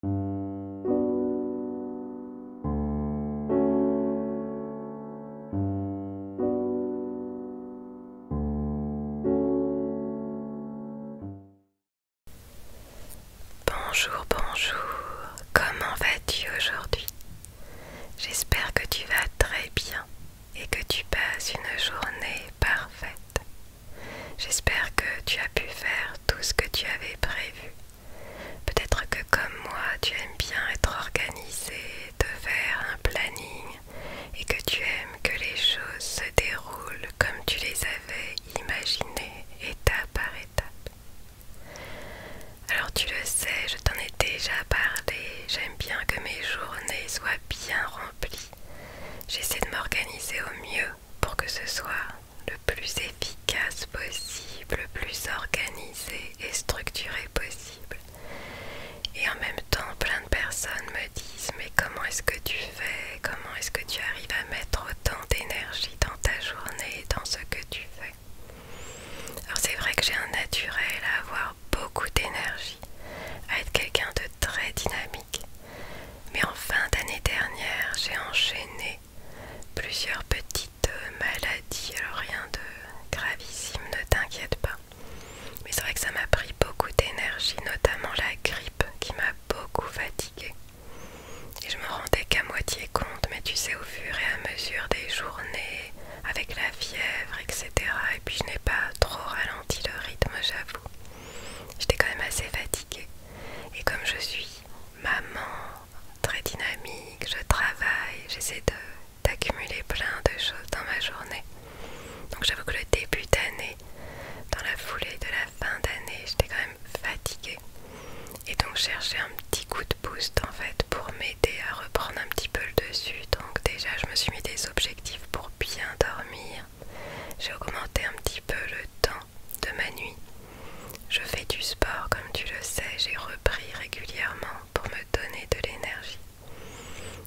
Bonjour, bonjour, comment vas-tu aujourd'hui J'espère que tu vas très bien et que tu passes une journée parfaite. J'espère que tu as pu faire tout ce que tu avais prévu. Peut-être que comme moi, tu aimes bien être organisé, te faire un planning et que tu aimes que les choses se déroulent comme tu les avais imaginées étape par étape. Alors tu le sais, je t'en ai déjà parlé, j'aime bien que mes journées soient bien remplies. J'essaie de m'organiser au mieux pour que ce soit le plus efficace possible, le plus organisé et structuré possible. Et en même temps, plein de personnes me disent mais comment est-ce que tu fais Comment est-ce que tu arrives à mettre autant d'énergie dans ta journée, dans ce que tu fais Alors c'est vrai que j'ai un naturel à avoir beaucoup d'énergie, à être quelqu'un de très dynamique mais en fin d'année dernière, j'ai enchaîné plusieurs petites euh, maladies. Alors rien de gravissime, ne t'inquiète pas. Mais c'est vrai que ça m'a pris beaucoup d'énergie, notamment la grippe qui m'a beaucoup fatiguée. Et je me rendais qu'à moitié compte, mais tu sais, au fur et à mesure des journées, avec la fièvre, etc. Et puis je n'ai pas trop ralenti le rythme, j'avoue. J'étais quand même assez fatiguée. Et comme je suis maman très dynamique, je travaille, j'essaie d'accumuler plein de choses dans ma journée. Donc j'avoue que le début d'année, dans la foulée de la fin d'année, j'étais quand même fatiguée. Et donc chercher un petit coup de boost en fait pour m'aider à reprendre un petit peu le dessus. Donc déjà je me suis mis des objectifs pour bien dormir, j'ai augmenté un petit peu le temps de ma nuit. Je fais du sport, comme tu le sais, j'ai repris régulièrement pour me donner de l'énergie.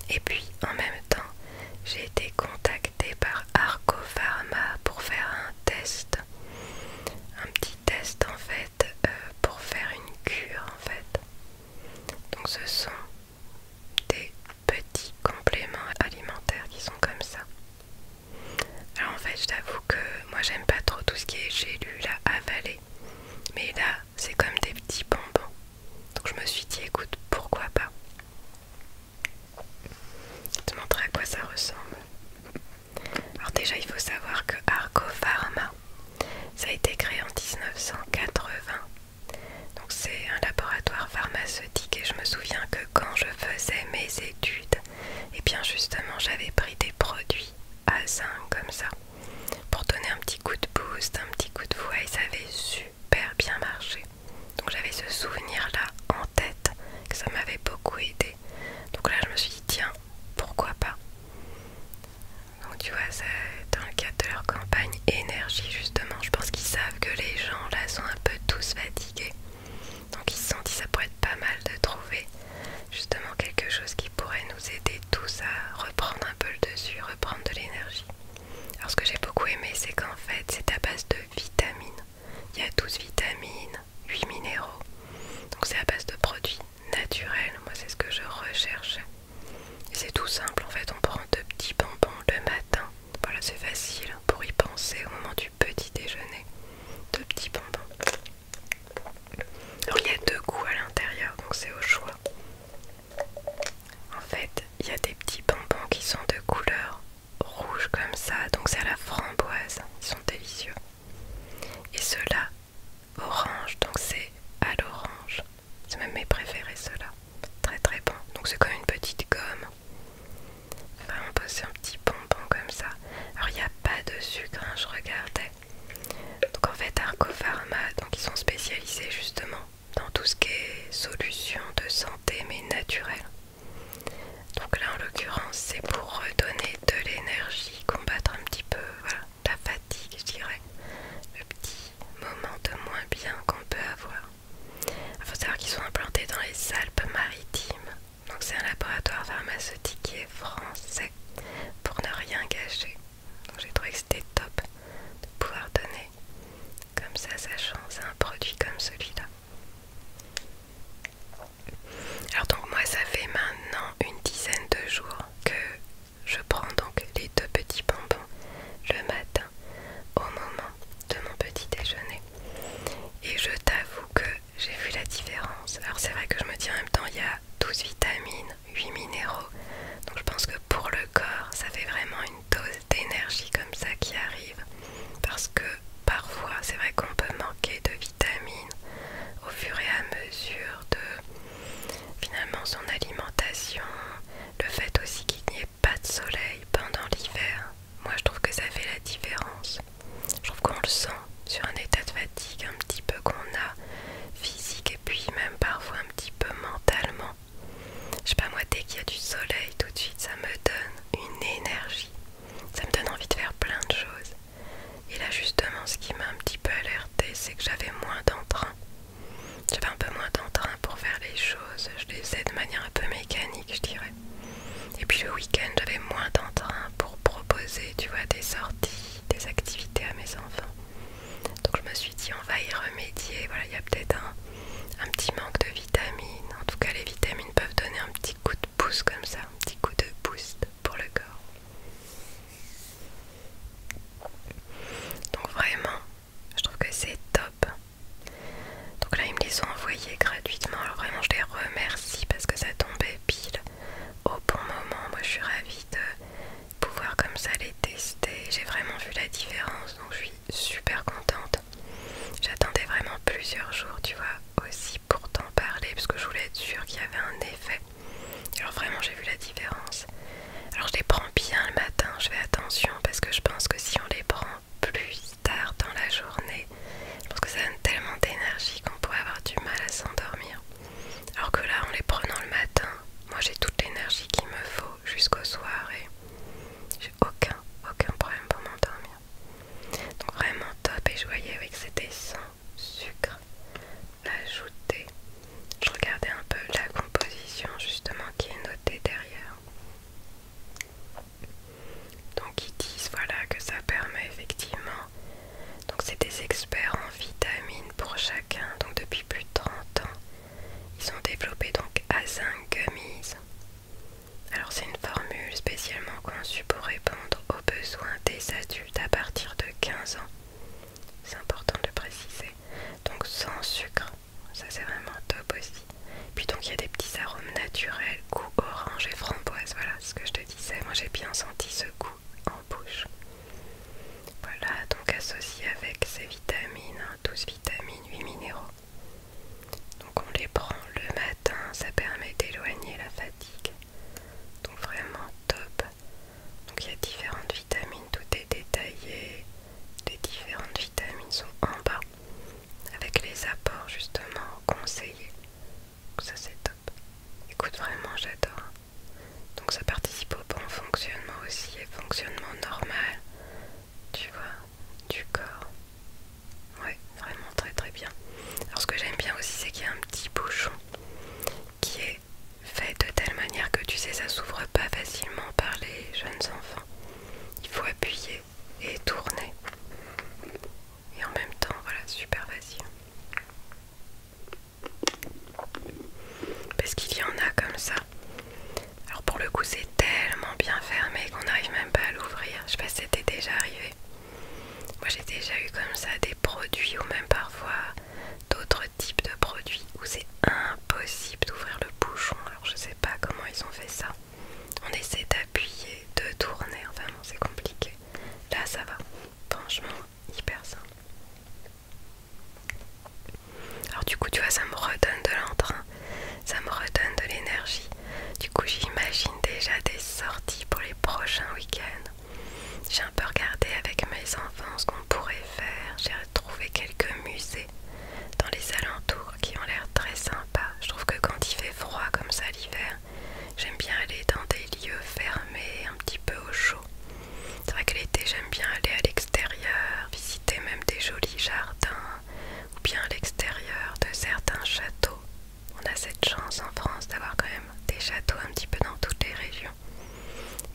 Et puis, en même temps, j'ai été contactée par Arco Pharma pour faire un test. Un petit test, en fait, euh, pour faire une cure, en fait. Donc ce sont des petits compléments alimentaires qui sont comme ça. Alors en fait je t'avoue que moi j'aime pas trop tout ce qui est j'ai lu là avalé. Mais là c'est comme des petits bonbons. Donc je me suis dit écoute pourquoi pas. Je te montrer à quoi ça ressemble. Alors déjà il faut savoir que Argo Pharma ça a été créé en 1980. Donc c'est un laboratoire pharmaceutique et je me souviens que quand je faisais mes études, et eh bien justement j'avais pris des produits à 5 comme ça pour donner un petit coup de boost, un petit coup de voix et ça avait super bien marché. Donc j'avais ce souvenir là en tête que ça m'avait beaucoup aidé. Donc là je me suis dit tiens pourquoi pas. Donc tu vois c'est dans le cadre de leur campagne énergie justement je pense qu'ils savent que les gens là sont un peu tous fatigués donc ils se sont dit ça pourrait être pas mal de trouver justement quelque chose qui pourrait nous aider tous à reprendre un peu le dessus, reprendre de l'énergie. Alors ce que j'ai beaucoup aimé c'est qu'en fait c'est à base de vitamines. Il y a 12 vitamines, 8 minéraux. Donc c'est à base de produits naturels. Moi c'est ce que je recherche. c'est tout simple en fait. On prend deux petits bonbons le matin voilà, c'est facile pour y penser au moment du petit déjeuner. Deux petits bonbons. Alors il y a deux goûts à l'intérieur, donc c'est au choix. En fait, il y a des petits bonbons qui sont de couleur rouge comme ça, donc c'est à la framboise, ils sont délicieux. Et ceux-là, orange, donc c'est à l'orange. C'est même mes préférés ceux-là. Très très bon. Donc c'est comme une petite gomme. Vraiment poser un petit bonbon comme ça. Alors il n'y a pas de sucre, hein, je regardais. Donc en fait Arco Pharma, donc ils sont spécialisés justement dans tout ce qui est solution de santé mais naturelles. Donc là en l'occurrence c'est pour redonner de l'énergie, combattre un petit peu la fatigue je dirais, le petit moment de moins bien qu'on peut avoir. Il faut savoir qu'ils sont implantés dans les Alpes-Maritimes. Donc c'est un laboratoire pharmaceutique qui est français pour ne rien gâcher. Donc j'ai trouvé que c'était top de pouvoir donner comme ça sa chance à un produit comme celui-là. Alors donc moi ça fait maintenant une dizaine de jours que je prends donc les deux petits bonbons le matin au moment de mon petit déjeuner. Et je t'avoue que j'ai vu la différence. Alors c'est vrai que je me dis en même temps, il y a 12 vitamines, 8 minéraux. Donc je pense que pour le corps, ça fait vraiment une dose d'énergie comme ça qui arrive. Parce que parfois, c'est vrai qu'on peut manquer de vitamines au fur et à mesure de finalement son alimentation. Le fait aussi qu'il n'y ait pas de soleil pendant l'hiver, moi je trouve que ça fait la différence. Je trouve qu'on le sent sur un état de fatigue un petit peu qu'on a physique et puis même parfois un petit peu mentalement. Je sais pas moi dès qu'il y a du soleil tout de suite ça me donne une énergie. Ça me donne envie de faire plein de choses. Et là justement ce qui m'a un petit peu alerté, c'est que j'avais moins d'entrain. J'avais un peu moins d'entrain pour faire les choses, je les faisais de manière un peu mécanique, je dirais. Et puis le week-end, j'avais moins d'entrain pour proposer, tu vois, des sorties, des activités à mes enfants. Donc je me suis dit, on va y remédier. Voilà, il y a peut-être un, un petit manque de vitamines. En tout cas, les vitamines peuvent donner un petit coup de pouce comme ça, un petit coup de boost pour le corps. Donc vraiment, je trouve que c'est top. Donc là, ils me les ont envoyés gratuitement. Alors vraiment, je les remercie parce que ça tombait pile au bon moment. Moi, je suis ravie de pouvoir comme ça les tester. J'ai vraiment vu la différence, donc je suis super contente. J'attendais vraiment plusieurs jours, tu vois, aussi pour t'en parler parce que je voulais être sûre qu'il y avait un effet. Alors vraiment, j'ai vu la différence. Alors je les prends bien le matin, je fais attention parce que je pense que si on les prend plus tard dans la journée, je pense que ça donne tellement d'énergie qu'on pourrait avoir du mal à s'endormir. Alors que là, en les prenant le matin, moi j'ai toute l'énergie qu'il me faut jusqu'au soir et j'ai aucun, aucun problème pour m'endormir. Donc vraiment top et joyeux avec c'était sans sucre ajouté je regardais un peu la composition justement qui est notée derrière. Donc ils disent voilà que ça permet effectivement. Donc c'est des experts en vitamines pour chacun. Donc depuis plus de 30 ans, ils ont développé donc A5 Gummies. Alors c'est une formule spécialement conçue pour répondre aux besoins des adultes à partir de 15 ans. C'est important de préciser. Donc sans sucre, ça c'est vraiment top aussi. Puis donc il y a des petits arômes naturels, goût orange et framboise, voilà ce que je te disais, moi j'ai bien senti ce goût en bouche. Voilà, donc associé avec ces vitamines, 12 hein, vitamines, 8 minéraux. Donc on les prend le matin, ça permet d'éloigner la fatigue. Donc vraiment top. Donc il y a différentes vitamines, tout est détaillé. Les différentes vitamines sont en bas avec les apports justement conseillés. ça c'est top. Écoute vraiment j'adore. Donc ça participe au bon fonctionnement aussi et fonctionnement normal. Tu vois, du corps. Ouais, vraiment très très bien. Alors ce que j'aime bien aussi c'est qu'il y a un petit bouchon qui est fait, de telle manière que tu sais, ça s'ouvre pas facilement par les jeunes enfants. Il faut appuyer et tourner. Et en même temps, voilà, super facile. Parce qu'il y en a comme ça. Alors pour le coup, c'est tellement bien fermé qu'on n'arrive même pas à l'ouvrir. Je sais pas c'était déjà arrivé. Moi, j'ai déjà eu comme ça des produits ou même parfois d'autres Type de produit où c'est impossible d'ouvrir le bouchon. Alors je sais pas comment ils ont fait ça. On essaie d'appuyer, de tourner, enfin non c'est compliqué. Là ça va, franchement hyper simple. Alors du coup tu vois ça me redonne de l'entrain, ça me redonne de l'énergie. Du coup j'imagine déjà des sorties pour les prochains week-ends. J'ai un peu regardé avec mes enfants ce qu'on pourrait j'ai retrouvé quelques musées dans les alentours qui ont l'air très sympas. Je trouve que quand il fait froid comme ça l'hiver, j'aime bien aller dans des lieux fermés, un petit peu au chaud. C'est vrai que l'été, j'aime bien aller à l'extérieur, visiter même des jolis jardins ou bien à l'extérieur de certains châteaux. On a cette chance en France d'avoir quand même des châteaux un petit peu dans toutes les régions.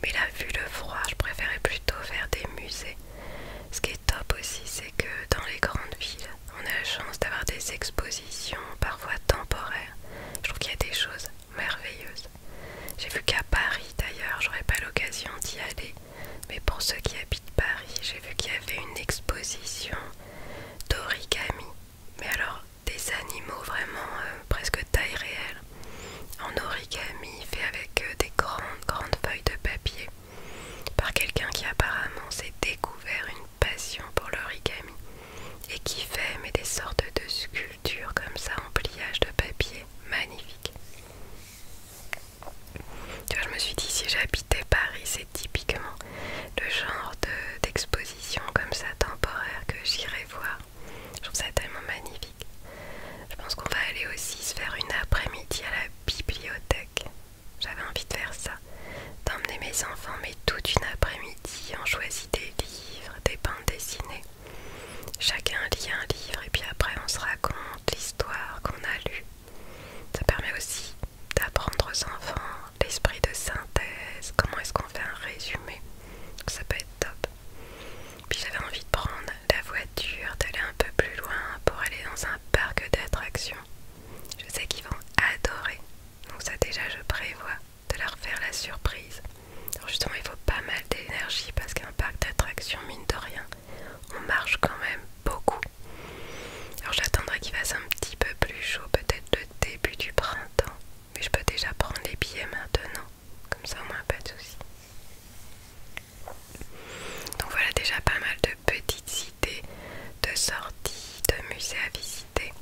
Mais là, vu le froid, je préférais plutôt faire des musées. Ce qui est top aussi, c'est que dans les grandes villes, on a la chance d'avoir des expositions parfois temporaires. Je trouve qu'il y a des choses merveilleuses. J'ai vu qu'à Paris d'ailleurs, j'aurais pas l'occasion d'y aller, mais pour ceux qui habitent Paris, j'ai vu qu'il y avait une exposition d'origami, mais alors des animaux vraiment euh, presque taille réelle en origami fait avec euh, des grandes grandes feuilles de papier par quelqu'un qui apparemment s'est découvert une passion pour l'origami et qui fait mais des sortes de sculptures comme ça en pliage de papier magnifique. Tu je me suis dit si j'habitais Paris, c'est typiquement le genre d'exposition comme ça temporaire que j'irais voir je trouve ça tellement magnifique. Je pense qu'on va aller aussi se faire une après-midi à la bibliothèque. J'avais envie de faire ça. D'emmener mes enfants, mais toute une après-midi, on choisit des livres, des bandes dessinées. Chacun lit un livre et puis après on se raconte l'histoire qu'on a lue. Ça permet aussi d'apprendre aux enfants l'esprit de synthèse, comment est-ce qu'on fait un résumé. Ça peut être top. Puis j'avais envie de prendre la voiture, d'aller un peu plus loin pour aller dans un parc d'attractions. Je sais qu'ils vont adorer. Donc ça déjà je prévois de leur faire la surprise. Alors justement il faut pas mal d'énergie parce qu'un parc d'attractions, mine de rien, on marche quand même beaucoup. Alors j'attendrai qu'il fasse un petit peu plus chaud, peut-être le début du printemps. Mais je peux déjà prendre les billets maintenant. Comme ça, au moins, pas de soucis. Donc voilà déjà pas mal de petites cités, de sorties, de musées à visiter.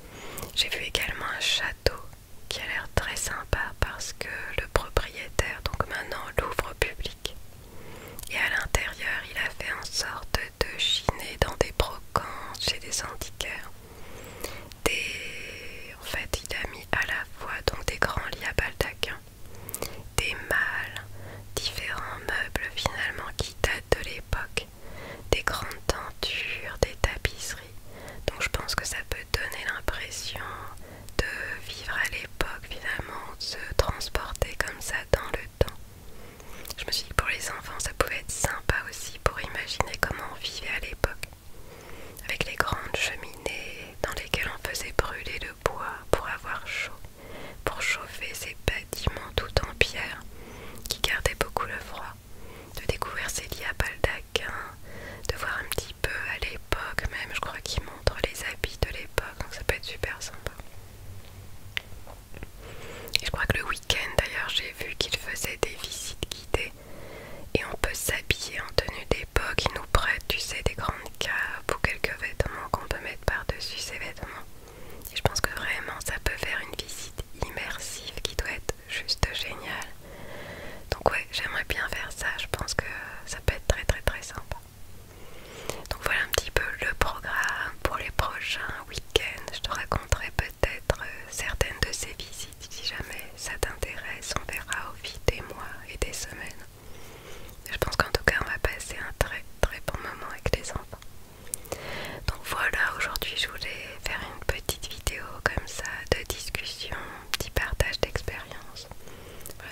J'ai vu également un château qui a l'air très sympa parce que le propriétaire, donc maintenant, l'ouvre au public. Et à l'intérieur, il a fait en sorte de chiner dans des brocantes chez des antiquaires. Des... En fait, il a mis à la fois donc des grands lits à des mâles, différents meubles finalement qui datent de l'époque, des grandes tentures, des tapisseries. Donc je pense que ça peut donner l'impression de vivre à l'époque finalement, de se transporter comme ça dans le temps. Je me suis dit que pour les enfants ça pouvait être sympa aussi pour imaginer comment on vivait à l'époque avec les grandes cheminées dans lesquelles on faisait brûler le bois pour avoir chaud, pour chauffer ces bâtiments tout en pierre qui gardaient beaucoup le froid, de découvrir ces lits à de voir un petit peu à l'époque même, je crois qu'ils montrent les habits de l'époque, donc ça peut être super sympa. Et je crois que le week-end d'ailleurs j'ai vu qu'il faisait des visites guidées et on peut s'habiller en tenue d'époque, qui nous prêtent, tu sais, des grandes capes ou quelques vêtements qu'on peut mettre par-dessus ces vêtements. je pense que vraiment ça peut faire une visite immersive qui doit être juste géniale. Donc ouais, j'aimerais bien faire ça, je pense que ça peut être très très très sympa. Donc voilà un petit peu le programme pour les prochains week-ends. Je te raconterai peut-être euh, certaines de ces visites si jamais ça t'intéresse. On verra au fil des mois et des semaines. Je pense qu'en tout cas, on va passer un très très bon moment avec les enfants. Donc voilà, aujourd'hui, je voulais faire une petite vidéo comme ça de discussion, petit partage d'expérience.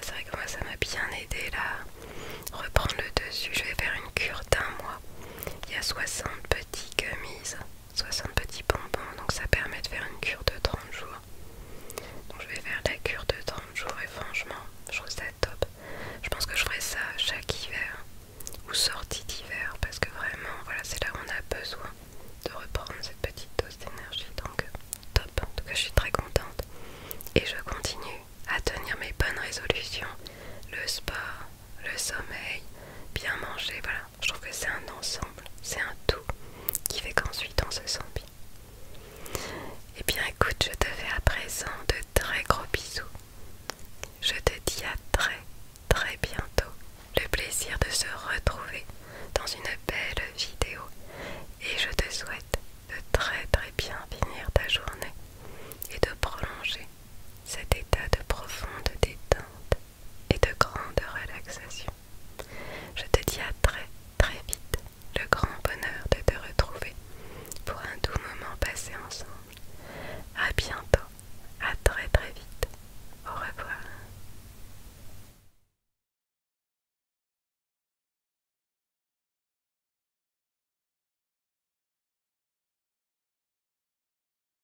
c'est vrai que moi, ça m'a bien aidé là. Reprendre le dessus, je vais faire une cure d'un mois. Il y a 60 petites chemises. 60 petits bonbons, donc ça permet de faire une cure de 30 jours. Donc je vais faire la cure de 30 jours et franchement, je trouve ça top. Je pense que je ferai ça chaque hiver ou sortie d'hiver parce que vraiment, voilà, c'est là où on a besoin de reprendre cette petite dose d'énergie. Donc top, en tout cas je suis très contente. Et je continue à tenir mes bonnes résolutions, le sport, le sommeil, bien manger, voilà, je trouve que c'est un ensemble, c'est un tout qui fait qu'ensuite on se sent bien. Eh bien écoute, je te fais à présent de très gros bisous. Je te dis à très très bientôt. Le plaisir de se retrouver dans une belle vidéo. Et je te souhaite de très très bien finir ta journée et de prolonger cet état de profonde détente et de grande relaxation. Je te dis à très très vite le grand bonheur de te retrouver pour un doux moment passé ensemble. À bientôt, à très très vite. Au revoir.